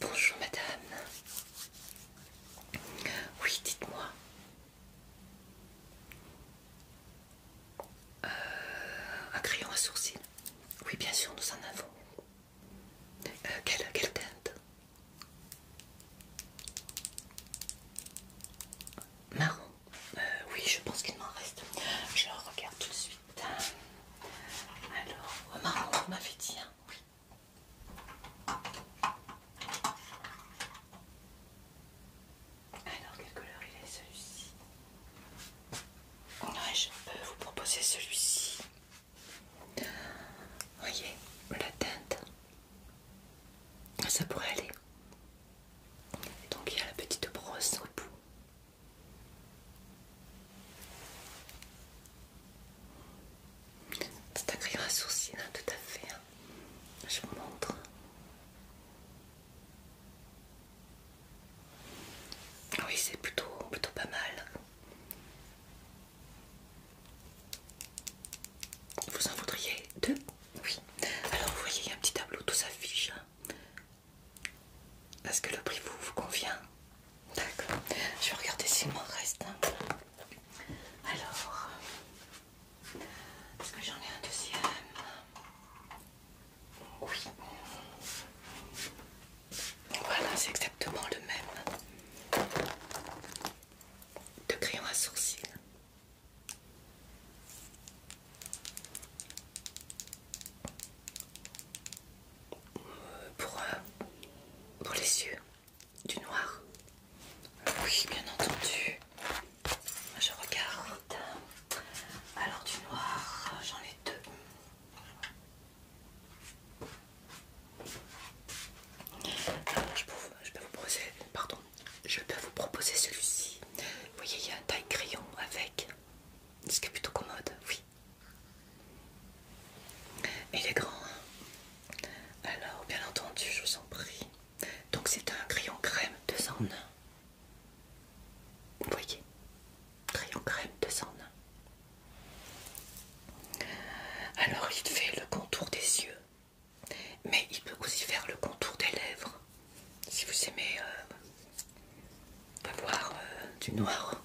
Bonjour madame. Oui, dites-moi. Euh, un crayon à sourcils. Oui, bien sûr, nous en avons. Euh, quelle, teinte Marron. Euh, oui, je pense qu'il m'en reste. Je regarde tout de suite. Alors, au marron, on m'avait dit, hein, oui. Alors, quelle couleur il est celui-ci ouais, Je peux vous proposer celui-ci. Voyez, la teinte, ça pourrait aller. Donc, il y a la petite brosse au bout. C'est un crayon à tout à fait. Hein. Je vous montre. Oui, c'est plutôt, plutôt pas mal. Vous en voudriez deux Oui. Alors, vous voyez, il y a un petit tableau, tout s'affiche. Hein. Est-ce que le prix vous, vous convient D'accord. Je vais regarder s'il m'en reste. Alors, est-ce que j'en ai un deuxième Oui. Voilà, c'est exactement le même. De crayon à sourcils pour, euh, pour les yeux, du noir. Oui, bien entendu. Je regarde. Alors du noir, j'en ai deux. Euh, je, peux je peux proposer, pardon, je peux vous proposer celui-ci. Vous voyez, il y a un taille crayon avec, ce qui est plutôt commode, oui. Il est grand. Hein. Alors, bien entendu, je vous en prie. Donc, c'est un crayon crème de en Vous voyez Crayon crème de en Alors, il fait le contour des yeux. Mais il peut aussi faire le contour des lèvres. Si vous aimez euh, on va voir euh, du noir.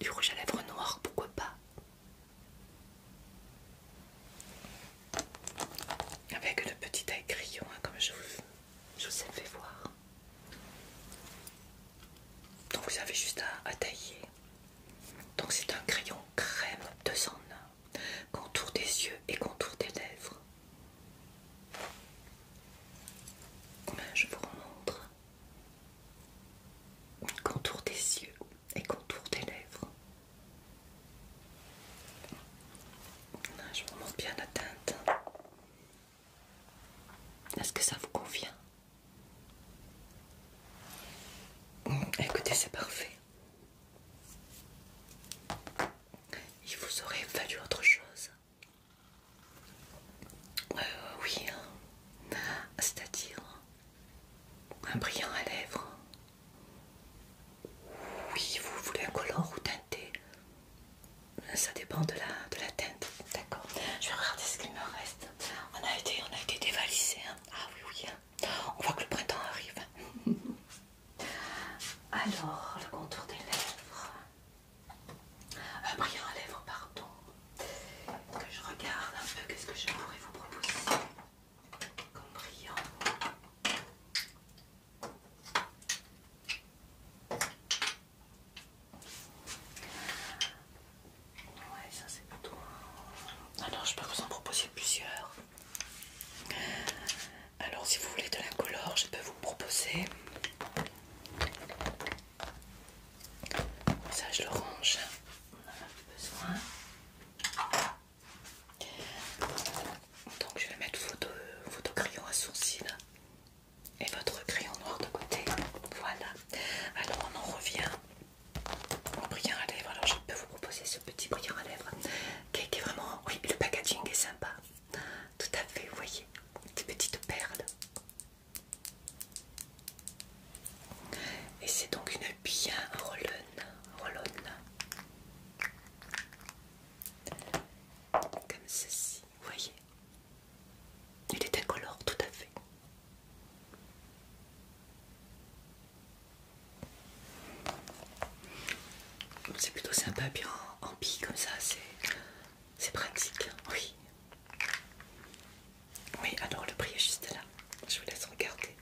Du rouge à lèvres noir, pourquoi pas Avec le petit taille crayon, hein, comme je vous, je ai fait voir. Donc vous avez juste à, tailler. Donc c'est un crayon crème de son hein, contour des yeux et contour des lèvres. Je vous remontre contour des yeux et contour des lèvres. Je vous montre bien la teinte. Est-ce que ça vous convient hum, Écoutez, c'est parfait. Il vous aurait fallu autre chose. Euh, oui, hein. c'est-à-dire un brillant à lèvres. Oui, vous voulez un color ou teinté Ça dépend de la, de teinte. D'accord. Je vais regarder ce qu'il me reste. On a été, on été dévalisé. Hein. Ah oui, hein. On voit que le printemps arrive. Alors, le contour des lèvres. Un euh, brillant à lèvres, pardon. Que je regarde un peu qu'est-ce que je pourrais vous proposer comme brillant. Ouais, ça c'est plutôt. Ah non, je peux vous en proposer plusieurs. Alors, si vous voulez de la couleur, je peux vous proposer ça, je le range. On a besoin. Donc, je vais mettre votre crayon à sourcil et votre crayon noir de côté. Voilà. Alors, on en revient au brillant à lèvres. Alors, je peux vous proposer ce petit brillant à lèvres qui est, vraiment. Oui, le packaging est sympa. Tout à fait, vous voyez, des petites perles. Et c'est donc une bien hein, rollonne, comme ceci, vous voyez. Il est incolore, tout à fait. C'est plutôt sympa, bien en, en comme ça, c'est c'est pratique, oui. Oui, alors le prix est juste là. Je vous laisse regarder.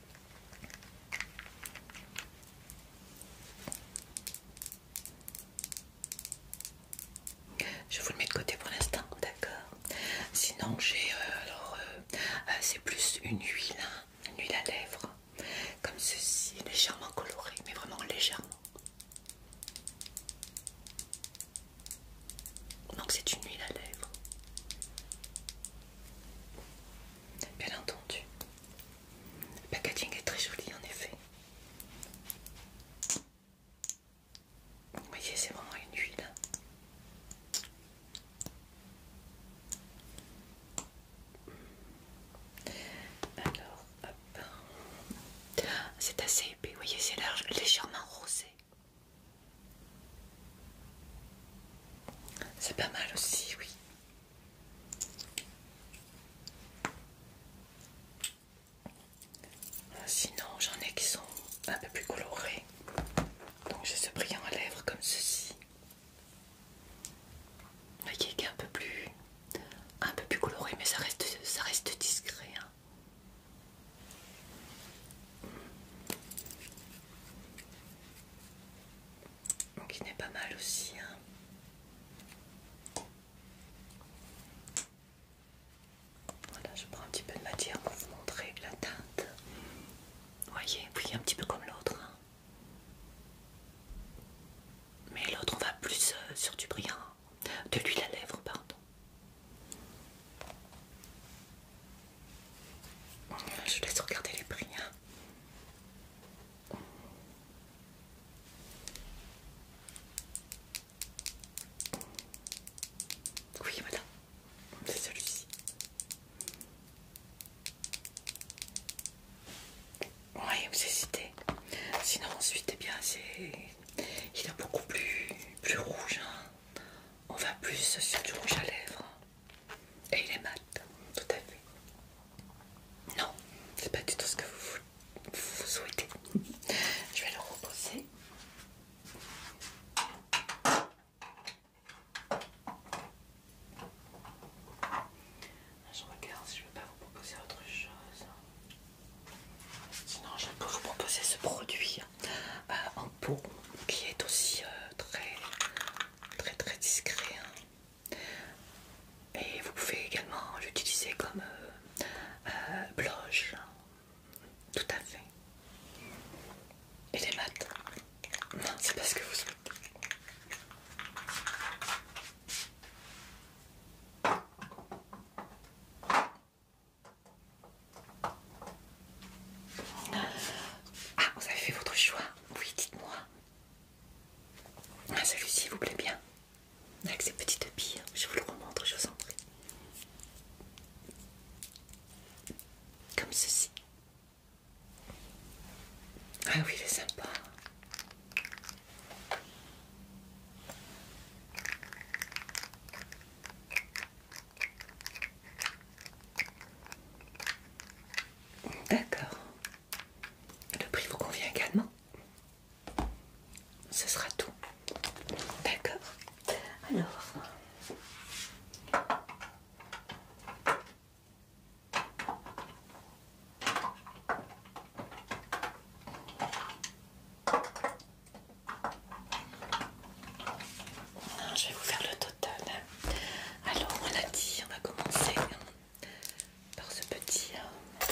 Je vous le mets de côté pour l'instant, d'accord. Sinon j'ai euh, alors euh, euh, c'est plus une huile, hein, une huile à lèvres, comme ceci, légèrement colorée, mais vraiment légèrement. Donc c'est une huile à lèvres. Bien entendu. Le packaging est très joli en effet. Vous voyez, c'est vraiment une huile. Alors, c'est assez épais, vous voyez, c'est légèrement rosé. C'est pas mal aussi, oui. Ah, sinon, j'en ai qui sont un peu plus colorés. Donc j'ai ce brillant à lèvres comme ceci. Vous voyez qui est un peu plus, un peu plus coloré, mais ça reste, ça reste discret. Hein. Donc il n'est pas mal aussi. Hein. Voilà, je prends un petit peu de matière pour vous montrer la teinte. Vous voyez, oui, un petit peu comme l'autre. Hein. Mais l'autre, on va plus euh, sur du brillant de l'huile à lèvres, pardon. Je laisse regarder les prix. Hein. Oui, voilà, c'est celui-ci. Oui, vous hésitez. Sinon, ensuite, eh bien, c'est il est beaucoup plus, plus rouge. Hein. On va plus sur du rouge à lèvres. Et il est mat, tout à fait. Non, c'est pas du tout ce que vous, vous souhaitez. Je vais le reposer. Je regarde si je ne veux pas vous proposer autre chose. Sinon, je peux vous proposer ce produit euh, en peau qui est aussi euh, très très très discret. Hein. Et vous pouvez également l'utiliser comme euh, euh hein. Tout à fait. Et les maths Non, c'est pas ce que vous souhaitez. Ah, vous avez fait votre choix Oui, dites-moi. Ah, Celui-ci vous plaît bien Avec ces petites billes, je vous le remontre, je vous en prie. Comme ceci. Ah oui, il est sympa. D'accord. Le prix vous convient également Ce sera tout. D'accord. Alors. Je vais vous faire le total. Alors, on a dit, on va commencer par ce petit euh,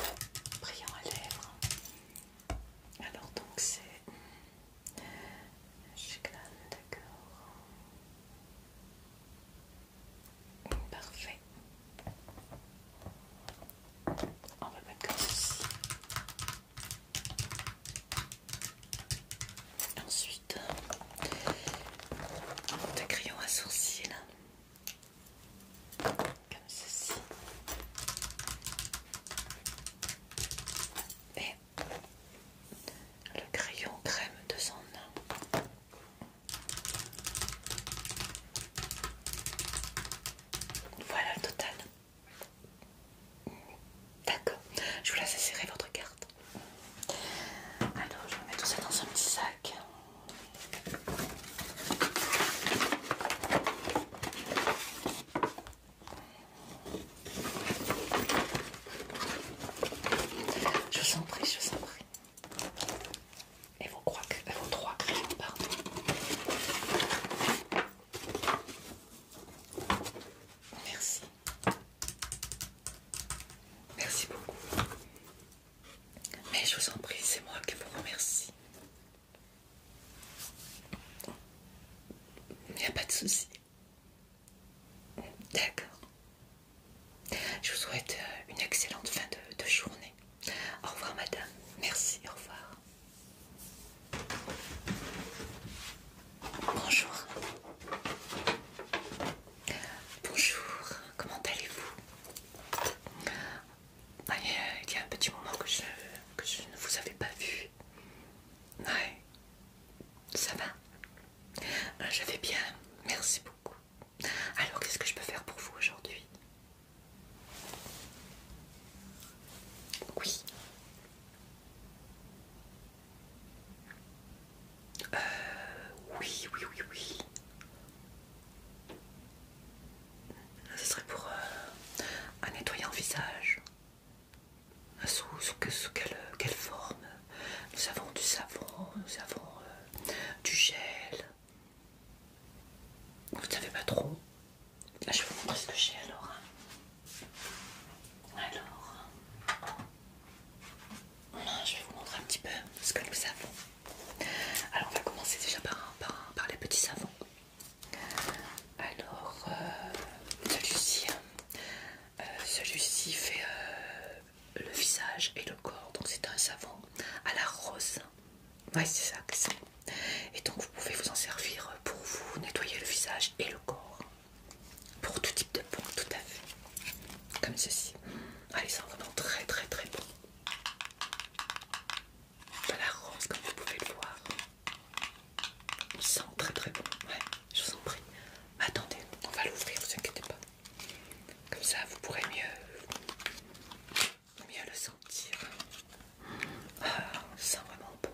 brillant à lèvres. Alors, donc, c'est. d'accord. Parfait. On va mettre comme ceci. Ensuite, des euh, crayon à sourcils comme ceci. Et le crayon crème de son Voilà le total. D'accord, je vous laisse serrer votre carte. Alors, je vais mettre tout ça dans un petit sac. Je vous en prie, je vous en prie. Et vos, euh, vos trois crayons, pardon. Merci. Merci beaucoup. Mais je vous en prie, c'est moi qui vous remercie. Il n'y a pas de souci. D'accord. Je vous souhaite euh, une excellente fin de, journée. Au revoir, madame. Merci, au revoir. Bonjour. Bonjour, comment allez-vous euh, Il y a un petit moment que je, ne vous avais pas vu. Ouais, ça va euh, Je vais bien, merci beaucoup. Alors, qu'est-ce que je peux faire pour vous aujourd'hui Oui, euh, oui, oui, oui, oui. Ce serait pour euh, un nettoyant visage. Euh, sous, quelle, forme Nous avons du savon, nous avons euh, du gel. Vous ne savez pas trop je vais vous montrer ce que j'ai alors. Alors, je vais vous montrer un petit peu ce que nous avons. Alors, on va commencer déjà par, par, les petits savons. Alors, euh, hein. euh, celui-ci fait euh, le visage et le corps, donc c'est un savon à la rose. Ouais, c'est ça que et donc vous pouvez vous en servir pour vous nettoyer le visage et le corps. Pour tout type de peau, tout à fait. Comme ceci. Allez, sent vraiment très très très bon. Voilà rose comme vous pouvez le voir. Il sent très très bon. Ouais, je vous en prie. attendez, on va l'ouvrir, ne vous inquiétez pas. Comme ça, vous pourrez mieux, mieux le sentir ça euh, sent vraiment bon.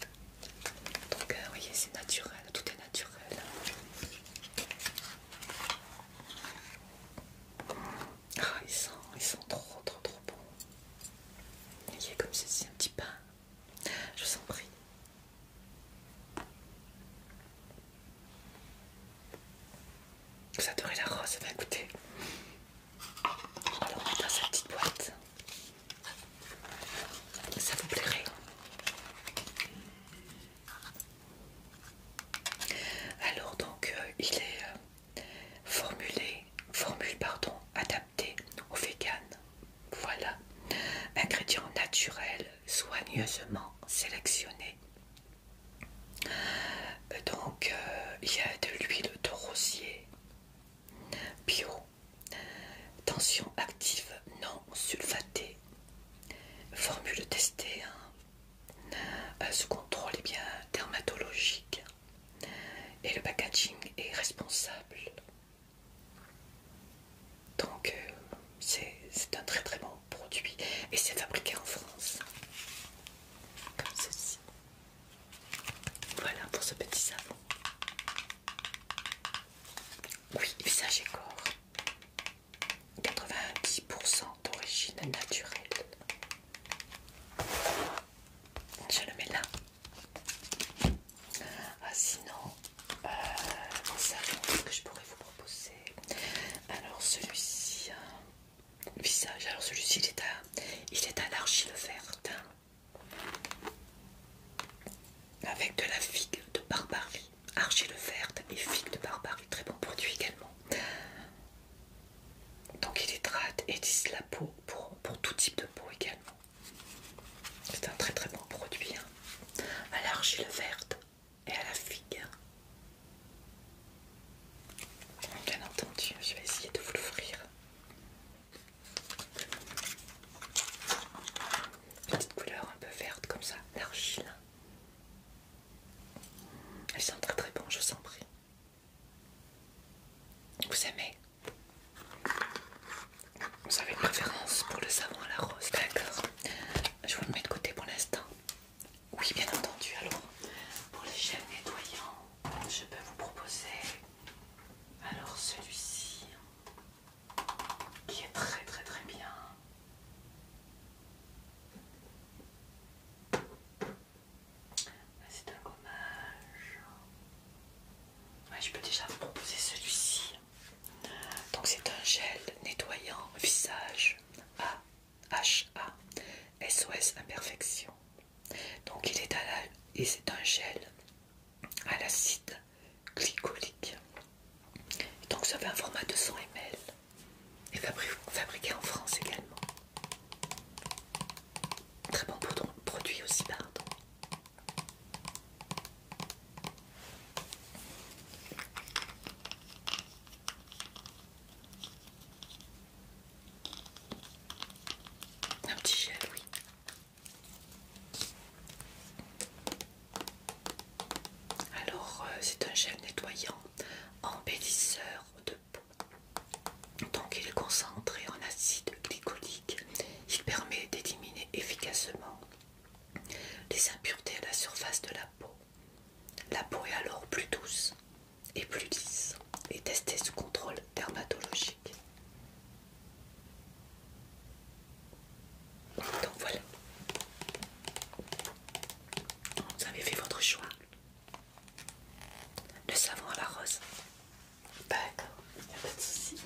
Donc, vous euh, voyez, c'est naturel, tout est naturel. Ah, ils sent, ils trop, trop, trop Il y a comme ceci, un petit pain. Je vous en prie. Vous adorez la rose, va bah, goûter. écoutez, donc dans cette petite boîte, ça vous plairait. Alors donc euh, il est euh, formulé, formule pardon, adapté au vegan. Voilà, ingrédients naturels soigneusement sélectionnés. Euh, donc il y a de l'huile de rosier, bio, tension active non sulfatée, formule testée, hein. euh, sous ce contrôle est eh bien dermatologique et le packaging est responsable. Donc euh, c'est un très très bon produit et c'est fabriqué en France, comme ceci. Voilà pour ce petit savon. Oui, visage et corps. 90% d'origine naturelle. Je le mets là. Ah sinon, euh, un ce que je pourrais vous proposer. Alors celui-ci, euh, visage. Alors celui-ci, il est à, il l'argile verte. Hein avec de la figue de barbarie, argile verte et figue de barbarie, très bon produit également. Donc il hydrate et lisse la peau pour, tout type de peau également. C'est un très très bon produit hein. à l'argile verte et à la figue. Bien entendu, je vais essayer de vous l'offrir. Petite couleur un peu verte comme ça, l'argile. Elle sont très très bon, je vous en prie. Vous aimez Vous avez une préférence pour le savon à la rose, d'accord Je vous le mets de côté pour l'instant. Oui, bien entendu. Alors, pour les gel nettoyants, je peux vous proposer alors celui-ci, qui est très très très bien. Ah, c'est un gommage. je peux déjà vous proposer celui-ci. Donc c'est un gel nettoyant visage A H A SOS imperfection. Donc il est à et c'est un gel à l'acide glycolique. donc ça fait un format de 100 ml et fabriqué en France également. Très bon produit aussi, pardon. Un petit gel, oui. Alors, euh, c'est un gel nettoyant embellisseur de peau. Donc, il est concentré en acide glycolique. Il permet d'éliminer efficacement les impuretés à la surface de la peau. La peau est alors plus douce et plus lisse et testée sous contrôle dermatologique. Donc voilà. Vous avez fait votre choix. Le savon à la rose. D'accord, il n'y a pas de souci.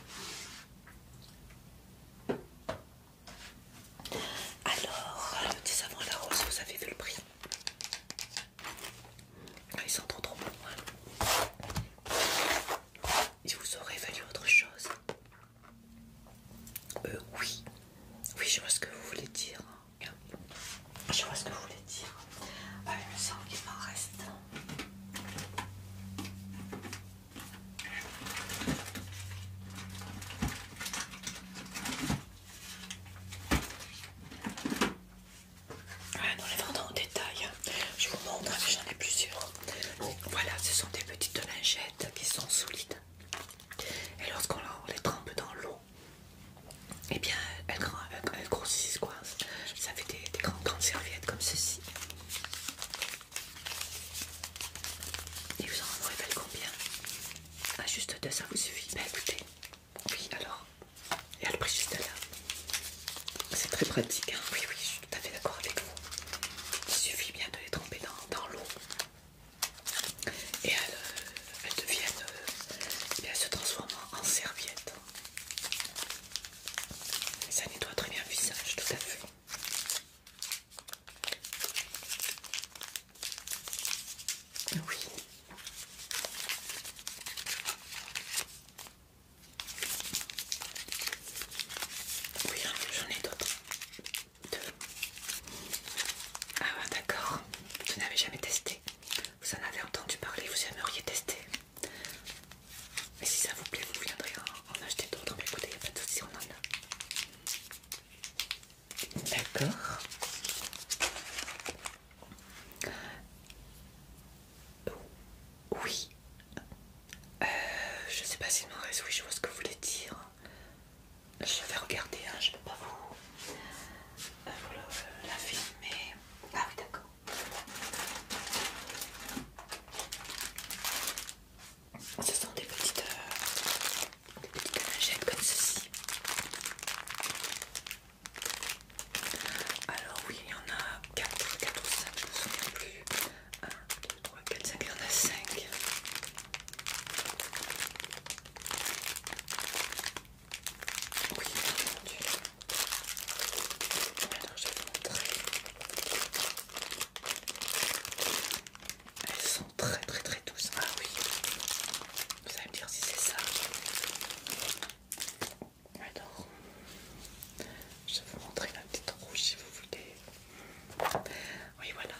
Alors, le petit savon à la rose, vous avez vu le prix ils sont trop trop bons. Ils vous auraient fallu autre chose. Euh, oui, oui, je vois ce que vous voulez dire. Hein. Je vois ce que vous voulez dire. Ah, il me semble qu'il m'en reste. On les dans en détail. Je vous montre, hein, j'en ai plusieurs. Voilà, ce sont des petites lingettes qui sont solides. Et lorsqu'on les trempe dans l'eau, et eh bien, elles, grossissent quoi. Ça fait des, grandes, serviettes comme ceci. Et vous en révèle combien ah, Juste deux, ça vous suffit. Bah écoutez, oui alors, et elle prix juste là. C'est très pratique. Hein. Oui, oui, je suis tout à fait d'accord avec vous. Il suffit bien de les tremper dans, l'eau. Et elles, euh, deviennent, euh, eh se transforment en serviettes. ça nettoie très bien le visage, tout à fait. Oui. Oui, j'en ai d'autres. Deux. Ah d'accord. Vous n'avez jamais testé. Vous en avez entendu parler, vous aimeriez tester. Mais si ça vous plaît, vous viendrez en, acheter d'autres. Mais écoutez, il n'y a pas de souci, on en a. D'accord. Oui. Euh, je ne sais pas si je mauvaise oui, je vois ce que vous voulez dire. Je vais regarder, je hein, je peux pas vous, euh, euh, la filmer. Ah oui, d'accord. Ce sont des petites, lingettes des petites comme ceci. Alors oui, il y en a 4, 4 ou 5, je ne me souviens plus. 1, 2, 3, 4, 5, il y en a 5. Oui, oh mon entendu. Alors je vais vous montrer. Elles sont très très très douces. Ah oui. Vous allez me dire si c'est ça. Alors, je vais vous montrer la petite rouge si vous voulez. Oui, voilà.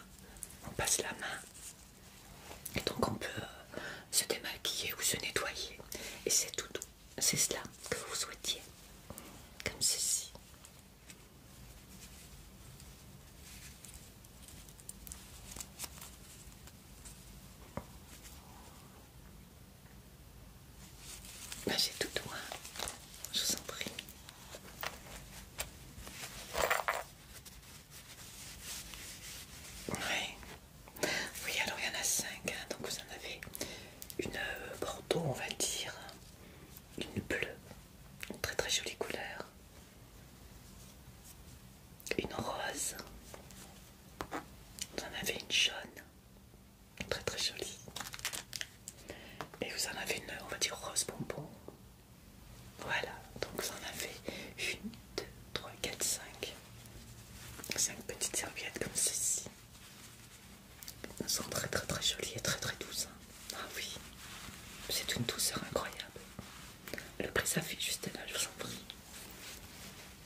On passe la main. Et donc on peut euh, se démaquiller ou se nettoyer. Et c'est tout C'est cela que vous souhaitiez. Comme ceci. Bah, j'ai tout droit, je vous en prie. Oui, alors il y en a 5, hein. donc vous en avez une euh, bordeaux, on va dire, une bleue, une très très jolie couleur, une rose, vous en avez une jaune, Très très jolie. Et vous en avez une, on va dire rose bonbon. Voilà, donc vous en avez une, deux, trois, quatre, cinq. Cinq petites serviettes comme ceci. Elles sont très très très jolies et très très douces. Hein. Ah oui, c'est une douceur incroyable. Le prix s'affiche juste là, je vous en prie.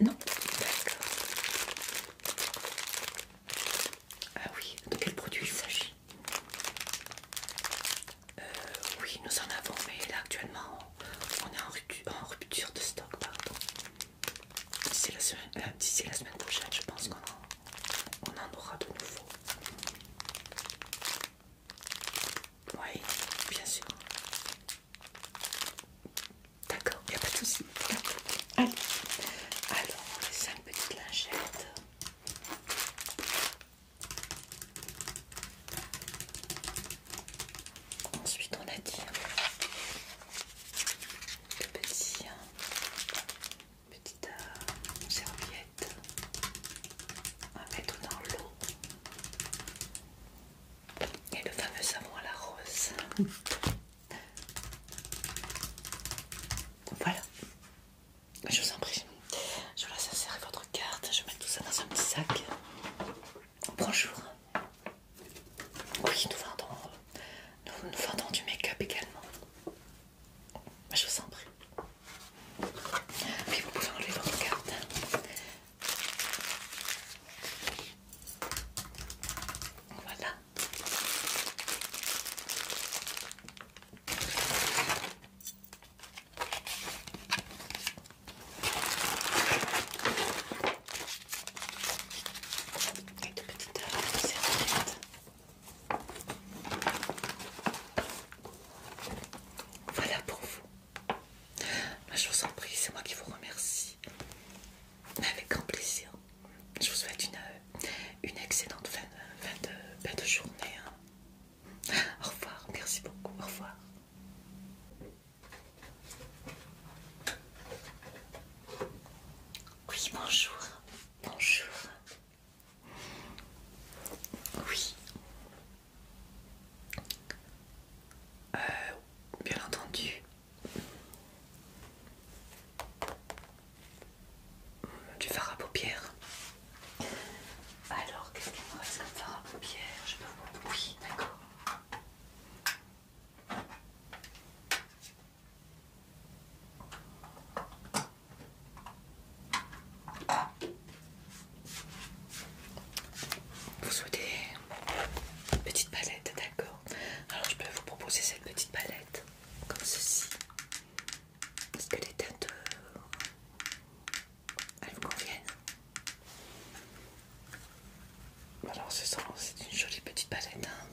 Non D'accord. Ah oui, de quel produit il s'agit euh, Oui, nous en avons, mais là actuellement on est en, rupture, en rupture de stock, pardon. D'ici la, euh, la semaine prochaine, je pense qu'on en aura de nouveau. Oui, bien sûr. D'accord, il n'y a pas de souci. Allez, alors les cinq petites lingettes. Ensuite, on a dit hein, le petit, hein, petite On euh, serviette à mettre dans l'eau et le fameux savon à la rose. Voilà, je vous en prie. Je vous laisse insérer votre carte. Je mets tout ça dans un petit sac. Bonjour. Oui, nous vendons, nous, nous vendons du make-up également. Je vous en prie. Puis vous pouvez enlever votre carte. Voilà. Euh, voilà pour vous. Ah, je vous en prie, c'est moi qui vous remercie. Avec grand plaisir. Je vous souhaite une, euh, excellente fin, de, journée. Hein. Au revoir, merci beaucoup, au revoir. Oui, bonjour. Bonjour. Oui. Euh, bien entendu. Du fard à paupières. Alors, qu'est-ce qu'il me reste comme fard à paupières Je peux vous... Oui, d'accord. Vous souhaitez Petite palette, d'accord. Alors je peux vous proposer cette petite palette, comme ceci. Est-ce que les teintes, euh, elles vous conviennent. Alors ce c'est une jolie petite palette, hein.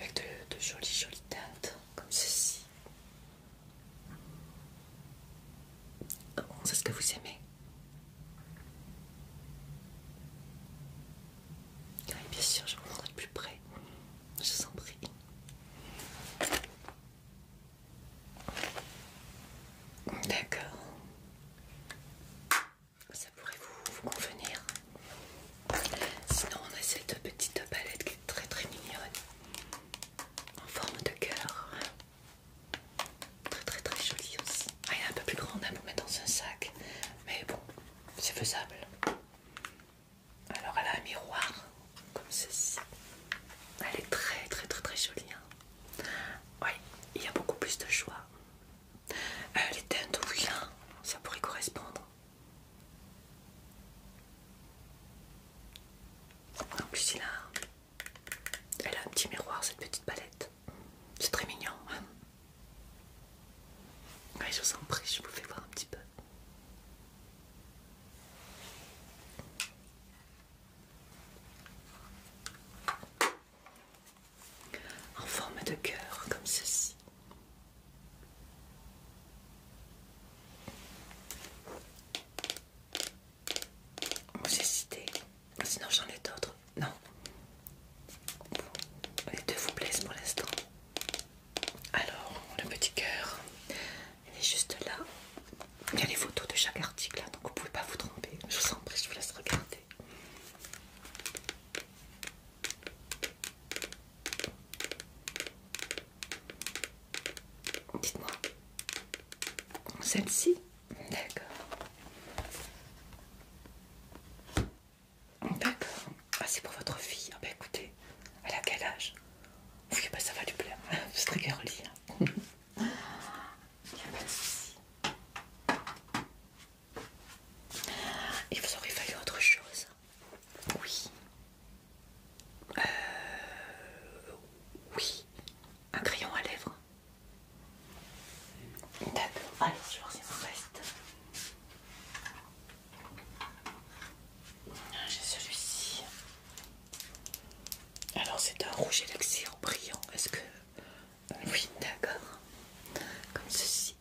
avec de, jolies jolies teintes, comme ceci. c'est ce que vous aimez bien sûr, je vous montrerai de plus près. Je vous en prie. D'accord. Ça pourrait vous convenir. Sinon, on a cette petite palette qui est très très mignonne en forme de cœur. Très très très jolie. aussi. Ah, est un peu plus grande à pour mettre dans un sac. Mais bon, c'est faisable. Alors elle a un miroir comme ceci. Elle est très très très très jolie. Hein. Oui, il y a beaucoup plus de choix. Elle est euh, teintes, ça pourrait correspondre. En plus, elle a un petit miroir, cette petite palette. C'est très mignon. Hein. Allez, je vous en prie, je vous fais voir un petit peu. En forme de cœur, comme ceci. Vous hésitez Sinon j'en ai d'autres. Non. Les deux vous plaisent pour l'instant. Alors, le petit cœur, il est juste là. Il y a les photos de chaque article, là, hein, donc vous pouvez pas vous tromper. Je vous en prie, je vous laisse regarder. Dites-moi, celle-ci D'accord. D'accord. Ah, c'est pour votre fille. Ah, bah écoutez, elle a quel âge Oui, bah ça va lui plaire. C'est très girly. Hein. Il pas de Il vous aurait fallu autre chose Oui. Euh, oui. Un crayon à lèvres D'accord, allez, je vais voir si reste. Ah, j'ai celui-ci. Alors, c'est un rouge en brillant. Est-ce que. Oui, d'accord. Comme ceci.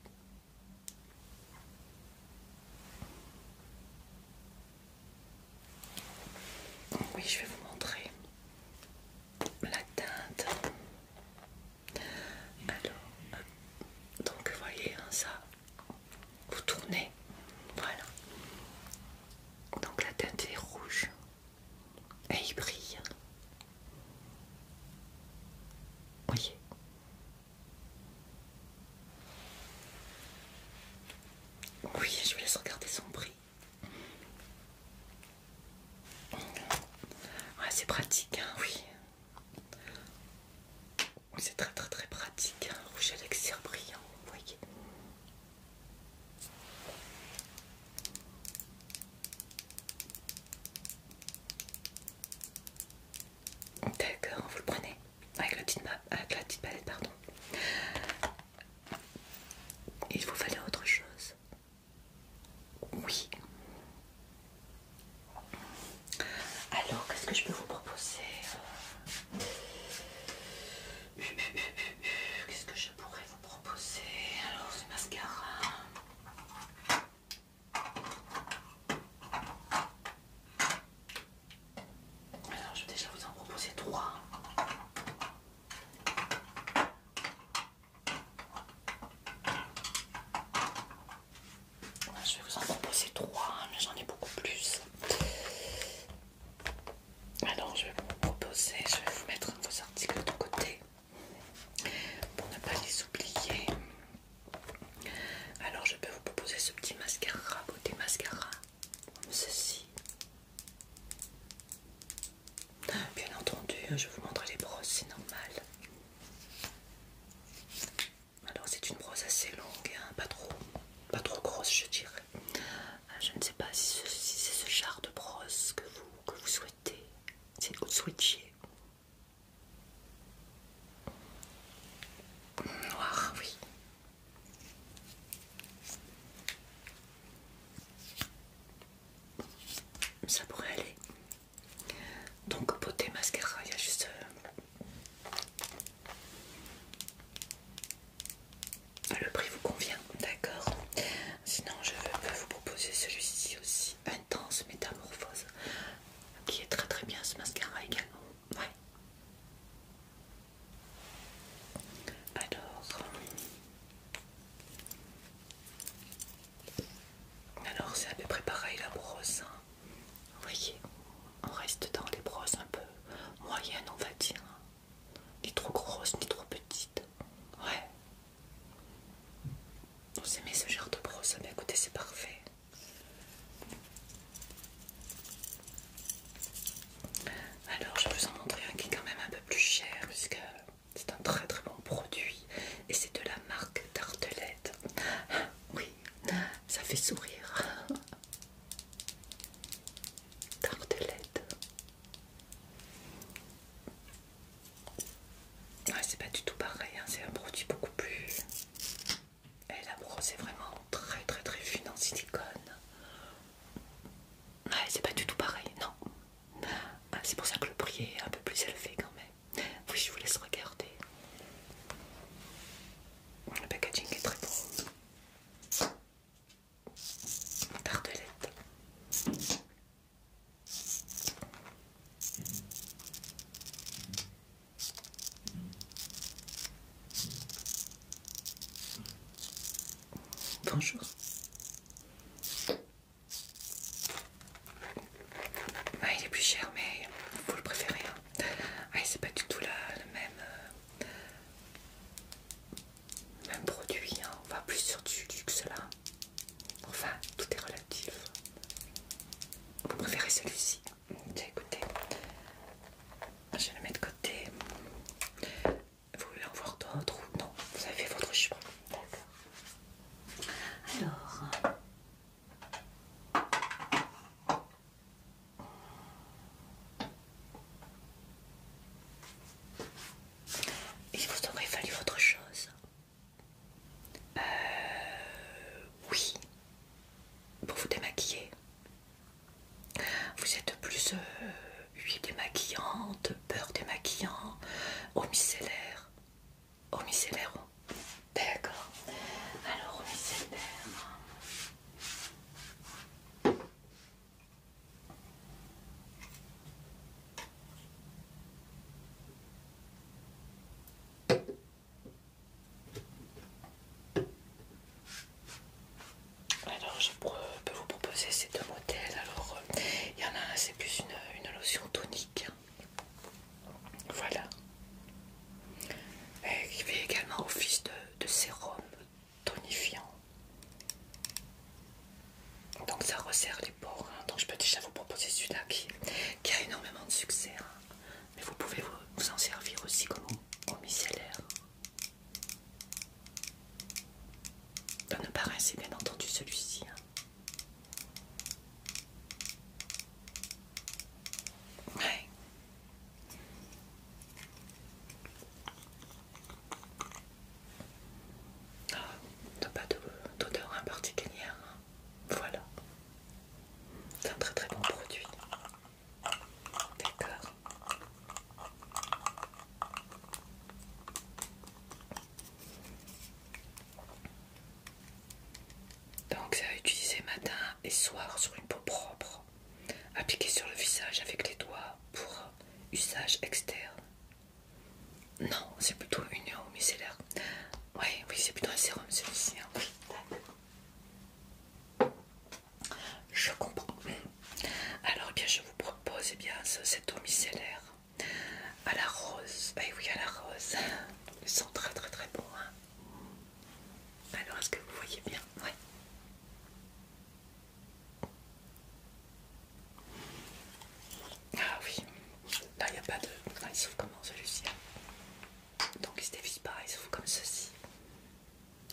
Oui, je vais vous montrer la teinte. Alors, euh, donc voyez hein, ça, vous tournez, voilà. Donc la tête est rouge et il brille. Voyez. Oui, je vous laisse regarder son prix c'est pratique, hein, oui. C'est très très très pratique, hein, rouge à lèvres brillant, vous voyez. D'accord, vous le prenez avec la, avec la petite palette, pardon. Il vous fallait autre chose. Oui. Alors, qu'est-ce que je peux vous proposer euh, Qu'est-ce que je pourrais vous proposer Alors, ce mascara. Alors, je vais déjà vous en proposer trois. Je vais vous en proposer trois, hein, mais j'en ai beaucoup plus. Alors je vais vous proposer, je vais vous mettre vos articles de côté pour ne pas les oublier. Alors je peux vous proposer ce petit mascara, beauté mascara, comme ceci. Bien entendu, hein, je vais vous montrer les brosses, c'est normal. Alors c'est une brosse assez longue, hein, pas trop, pas trop grosse je dirais. Euh, je ne sais pas si c'est ce, genre de brosse que vous, que vous souhaitez, si vous souhaitiez. Noir, oui. Ça pourrait aller. Donc beauté mascara, il y a juste... Euh, le prix vous convient, d'accord Sinon je peux vous proposer celui-ci aussi, Intense Métamorphose, qui est très très bien ce mascara également. Ouais. Alors... Alors c'est à peu pareil la brosse. Hein. Vous voyez, on reste dans les brosses un peu moyennes on va dire. Ni trop grosses, ni trop petites. Ouais. Vous aimez ce genre de brosse Mais eh écoutez, c'est parfait. Alors je vais vous en montrer un qui est quand même un peu plus cher puisque c'est un très très bon produit et c'est de la marque Tartelette. Ah, oui, ça fait sourire. Tartelette. Ouais, c'est pas du tout pareil, hein. c'est un produit beaucoup plus. Et eh, la brosse est vraiment très très très fine en silicone. Ouais, c'est pas du tout pareil, non. Ah, c'est pour ça que le prix est un peu plus élevé quand même. Oui, je vous laisse regarder. Le packaging est très beau. Tartelette. Bonjour. Ah, il est plus cher, mais vous le préférez. Hein. Ah, c'est pas du tout le même, euh, produit. Hein. On va plus sur du luxe là. Enfin, tout est relatif. Vous préférez celui-ci Tiens, écoutez, ah, je vais le mettre de côté. Vous voulez en voir d'autres non Vous avez fait votre choix. D'accord. Alors, il vous aurait fallu autre chose euh, Oui, pour vous démaquiller. Vous êtes plus euh, huile démaquillante, beurre démaquillant, eau micellaire au D'accord. Alors, au Alors, je peux vous proposer ces deux modèles. Alors, euh, il y en a un, c'est plus une lotion tonique voilà. Et est fait également office de, sérum tonifiant. Donc ça resserre les pores. Hein. Donc je peux déjà vous proposer celui-là qui, a énormément de succès. Hein. Mais vous pouvez vous, en servir aussi comme au, Ça micellaire. ne pas c'est bien entendu celui-ci. Hein. Ouais. pas d'odeur particulière. Hein. Voilà. C'est un très très bon produit. D'accord. Donc ça à utiliser matin et soir sur une peau propre, appliqué sur le visage avec les doigts pour usage externe. Non, c'est plutôt une eau micellaire. Oui, oui, c'est plutôt un sérum celui-ci. je comprends. Alors bien je vous propose eh bien, cette eau micellaire à la rose. Eh oui, à la rose. Ils sont très très très bon. Hein. Alors, est-ce que vous voyez bien Oui Ah oui. Là, il n'y a pas de... il s'ouvre comment celui-ci Donc, il se dévisse pas, il s'ouvre comme ceci.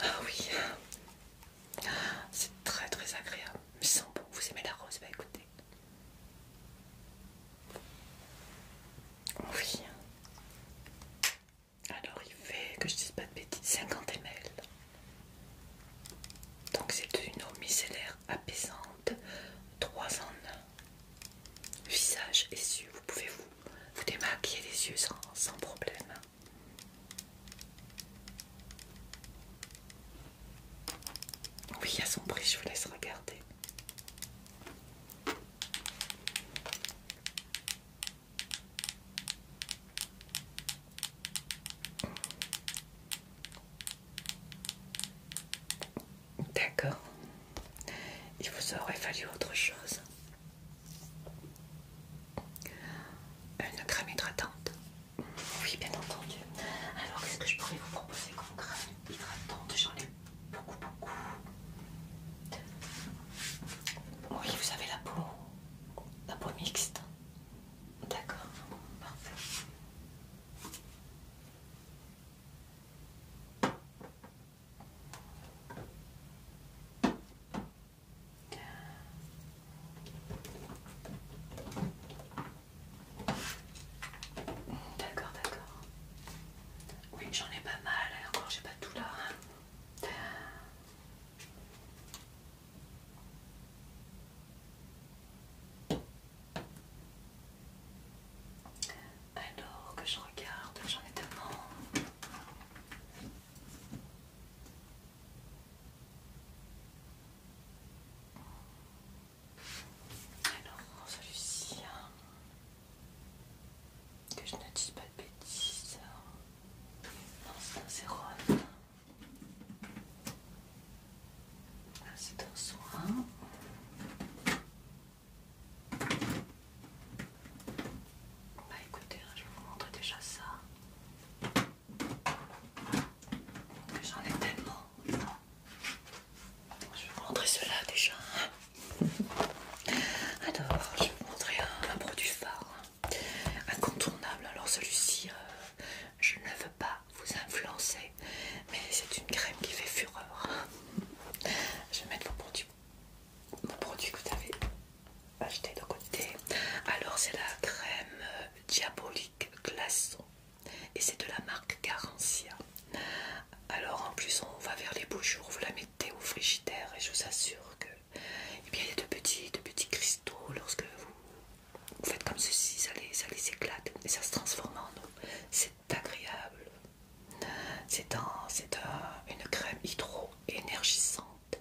Ah oui. C'est très très agréable. Ils sont beaux. Vous aimez la rose Bah écoutez. Oh oui. Alors il fait, que je dise pas de bêtises, 50 ml. Donc c'est une eau micellaire apaisante, 3 en 1. Visage et yeux, vous pouvez vous, vous démaquiller les yeux sans, sans problème. Oui, à son prix, je vous laisse regarder. D'accord. Il vous aurait fallu autre chose. Une crème hydratante. Oui, bien entendu. Alors, qu'est-ce que je pourrais vous proposer comme crème hydratante J'en ai beaucoup, beaucoup. Oui, vous avez la peau, la peau mixte. D'accord, parfait. D'accord, d'accord. Oui, j'en ai pas mal, encore j'ai pas tout là. Alors que je regarde, j'en ai tellement. Alors celui-ci, que je ne dise pas de bêtises. Non, c'est un zéro. Ah, c'est un soin. Bah écoutez, hein, je vais vous montrer déjà ça. J'en ai tellement. Je vais vous montrer cela déjà. Alors, je vais vous montrer un, produit phare, hein. incontournable. Alors celui-ci, euh, je ne veux pas vous influencer, mais c'est une crème qui fait fureur. Je vais mettre vos produits, vos produits que vous avez acheté de côté. Alors c'est la crème euh, diabolique glaçon et c'est de la marque Garancia. Alors en plus on va vers les beaux jours, vous la mettez au frigidaire et je vous assure que eh il y a de petits, de petits cristaux lorsque vous, faites comme ceci, ça les, éclate et ça se transforme en eau. C'est agréable. C'est une crème hydro énergissante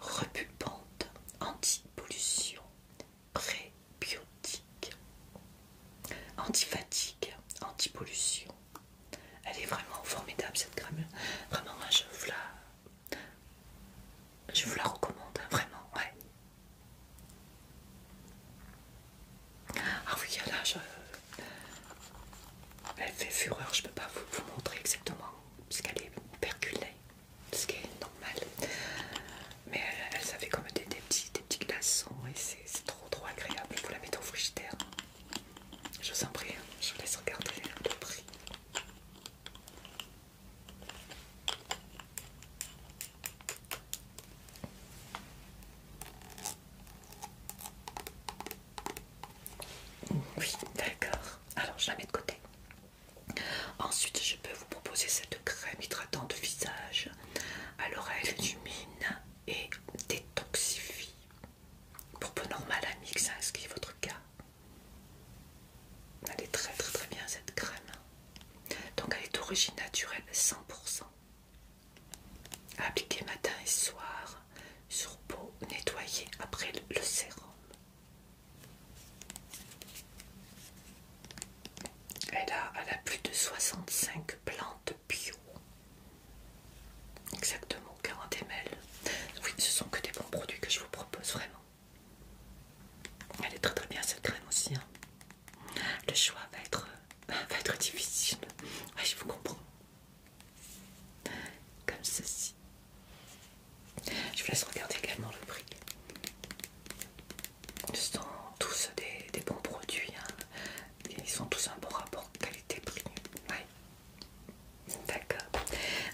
repulpante, anti-pollution, pré-bio, fatigue, anti pollution. Elle est vraiment formidable cette crème. Vraiment, je vous la, je vous la recommande, hein, vraiment, ouais. Ah oui, là, je... elle fait fureur, je peux pas vous, montrer exactement, parce qu'elle est perculée, ce qui est normal. Mais elle, avait comme des, petits, des petits glaçons, et c'est trop trop agréable. pour la mettez au frigidaire. Je vous en prie, hein, je vous laisse regarder le prix. Oh, oui, d'accord. Alors, je la mets de côté. Ensuite, je peux vous proposer cette crème hydratante de visage à l'oreille mine et détoxifie. Pour peu normal à Que ça, ce qui est votre cas Elle est très très très bien cette crème. Donc elle est d'origine naturelle 100%. Appliquée matin et soir sur peau nettoyée après le sérum. Elle a, elle a plus de 65 plantes bio. Exactement, 40 ml. Oui, ce sont que des bons produits que je vous propose, vraiment. Elle est très très bien cette crème aussi. Hein. Le choix va être, va être difficile. je vous comprends. Comme ceci. Je vous laisse regarder également le prix. Ce sont tous des, bons produits. Hein ils sont tous un bon rapport qualité-prix. D'accord.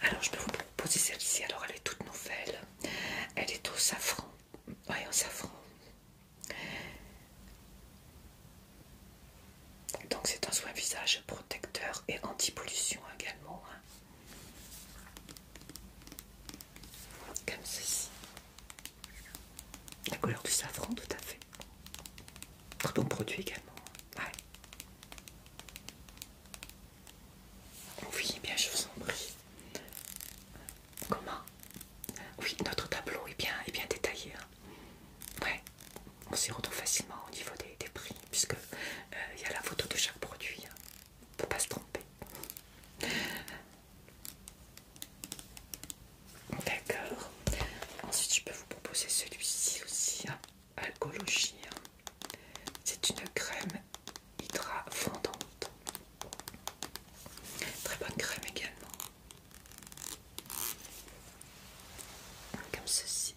Alors je peux vous proposer celle-ci. Alors elle est toute nouvelle. Elle est au safran. Oui, au safran. Donc c'est un soin visage protecteur et anti-pollution également. Hein. Comme ceci. La couleur du safran, tout à fait. Très bon produit également. Oui, bien, je vous en prie. Comment Oui, notre tableau est bien, bien détaillé. Oui, hein. Ouais. On s'y retrouve facilement au niveau des, prix, puisque euh, il y a la photo de chaque produit. Hein. On ne peut pas se tromper. D'accord. Ensuite, je peux vous proposer celui-ci aussi, hein. Alcologie. Hein. C'est une crème hydra fondante. Très bonne crème également. Comme ceci.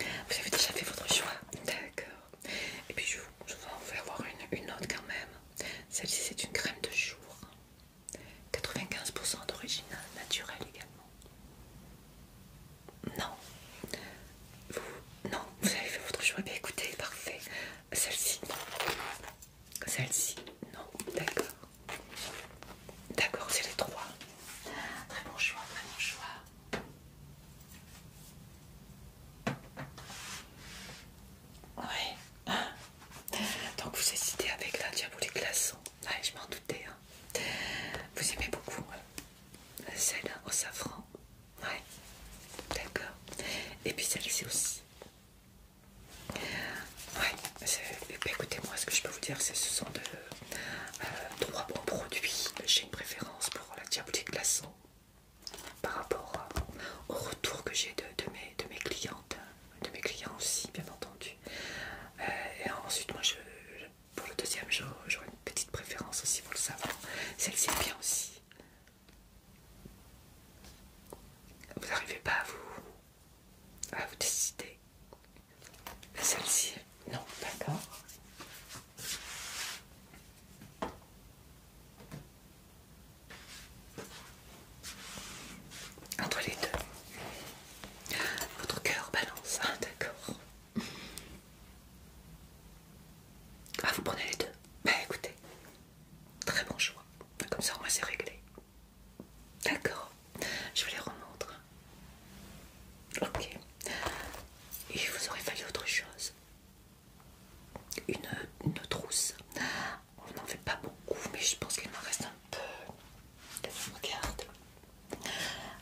Vous avez déjà fait votre choix D'accord. Et puis je, vais en faire voir une autre quand même. Celle-ci, c'est une crème de jour. 95% d'origine naturelle également. Non. Vous, non, vous avez fait votre choix. Bien écoutez, parfait. Celle-ci, non. Celle-ci, non. D'accord. D'accord, c'est les trois. Très bon choix, très bon choix. Ouais. Ah. Donc vous hésitez avec la diabolique glaçon. Ouais, je m'en doutais. Hein. Vous aimez beaucoup hein. celle au safran. Ouais. D'accord. Et puis celle-ci aussi. Ouais. Bah, Écoutez-moi, ce que je peux vous dire, c'est ce sont de, euh, trois bons produits. J'ai une préférence pour la diabolique glaçon par rapport au retour que j'ai de, mes, de mes clientes, de mes clients aussi bien entendu. Euh, et ensuite moi je, pour le deuxième jour j'aurai une petite préférence aussi pour le savon. Celle-ci est bien aussi. Vous n'arrivez pas à vous, à vous décider. Celle-ci, non, d'accord. Entre les deux. Votre cœur balance, hein, d'accord. Ah, vous prenez les deux Bah écoutez, très bon choix. Comme ça, au moins, c'est réglé. D'accord, je vous les remontre. Ok. Et vous aurait fallu autre chose. une trousse on n'en fait pas beaucoup, mais je pense qu'il me reste un peu. Que je regarde.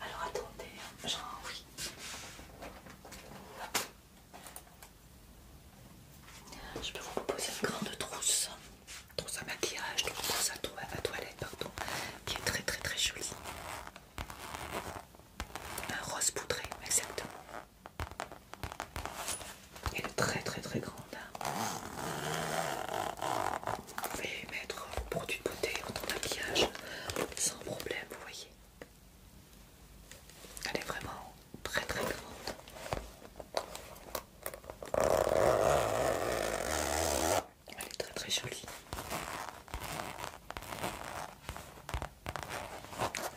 Alors attendez, genre envie. Je peux vous proposer une grande trousse, trousse à maquillage, trousse à, à toilette, pardon, qui est très très très jolie. Un rose poudré, exactement. Elle est très très très grande. Vous pouvez mettre vos produits beauté votre maquillage sans problème, vous voyez. Elle est vraiment très très grande. Elle est très très jolie.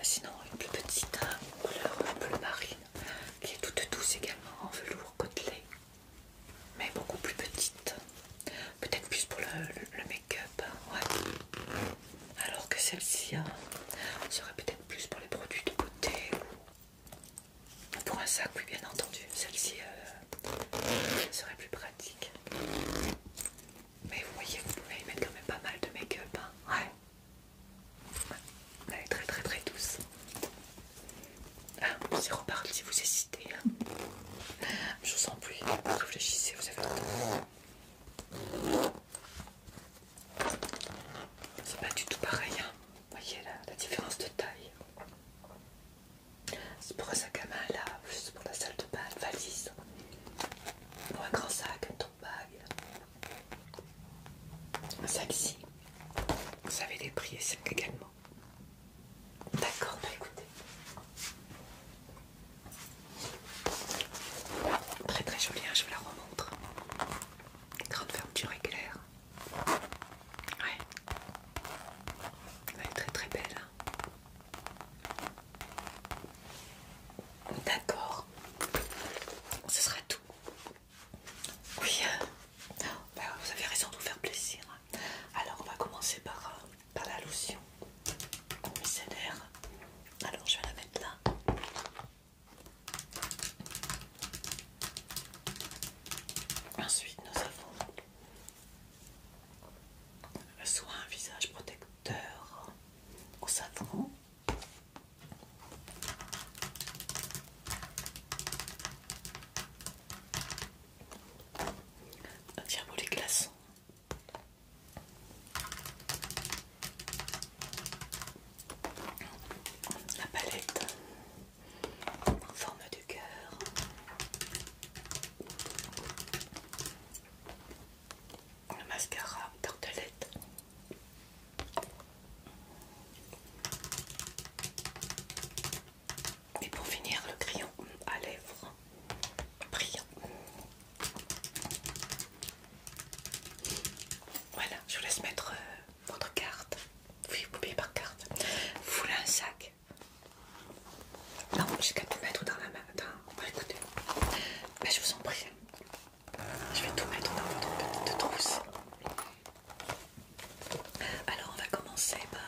Sinon, une plus petite un couleur le marine qui est toute douce également en velours côtelé, mais beaucoup plus petite. Peut-être plus pour le, make-up, hein, Alors que celle-ci hein, serait peut-être plus pour les produits de côté, ou pour un sac, oui, bien entendu. Celle-ci euh, serait plus pratique. Mais vous voyez, vous pouvez y mettre quand même pas mal de make-up, hein. Elle est très très très douce. Ah, c'est reparti si vous hésitez. Hein. Je vous en prie, réfléchissez, vous avez C'est pas du tout pareil, hein. voyez la, la différence de taille. C'est pour un sac à main là, juste pour la salle de bain, valise. Pour un grand sac, un tote bag. Celle-ci, vous savez les prix et également. D'accord, bah écoutez. Très très jolie, hein, je vous la remontre. Grande fermeture éclair. Ouais. Elle est très très belle. Hein. D'accord. Ce sera tout. Oui, euh, bah, vous avez raison de vous faire plaisir. Alors, on va commencer par, euh, la lotion Alors, je vais la mettre là. Ensuite, nous avons le soin visage protecteur au savon. Tiens pour les glaçons. La palette en forme de cœur. Le mascara, tartelette. Et pour finir, le crayon à lèvres brillant. Voilà, je vous laisse mettre euh, votre carte. Oui, vous payez par carte. Vous voulez un sac Non, j'ai qu'à tout mettre dans la main. Bah, écoutez, je vous en prie. Je vais tout mettre dans votre petite trousse. Alors, on va commencer par.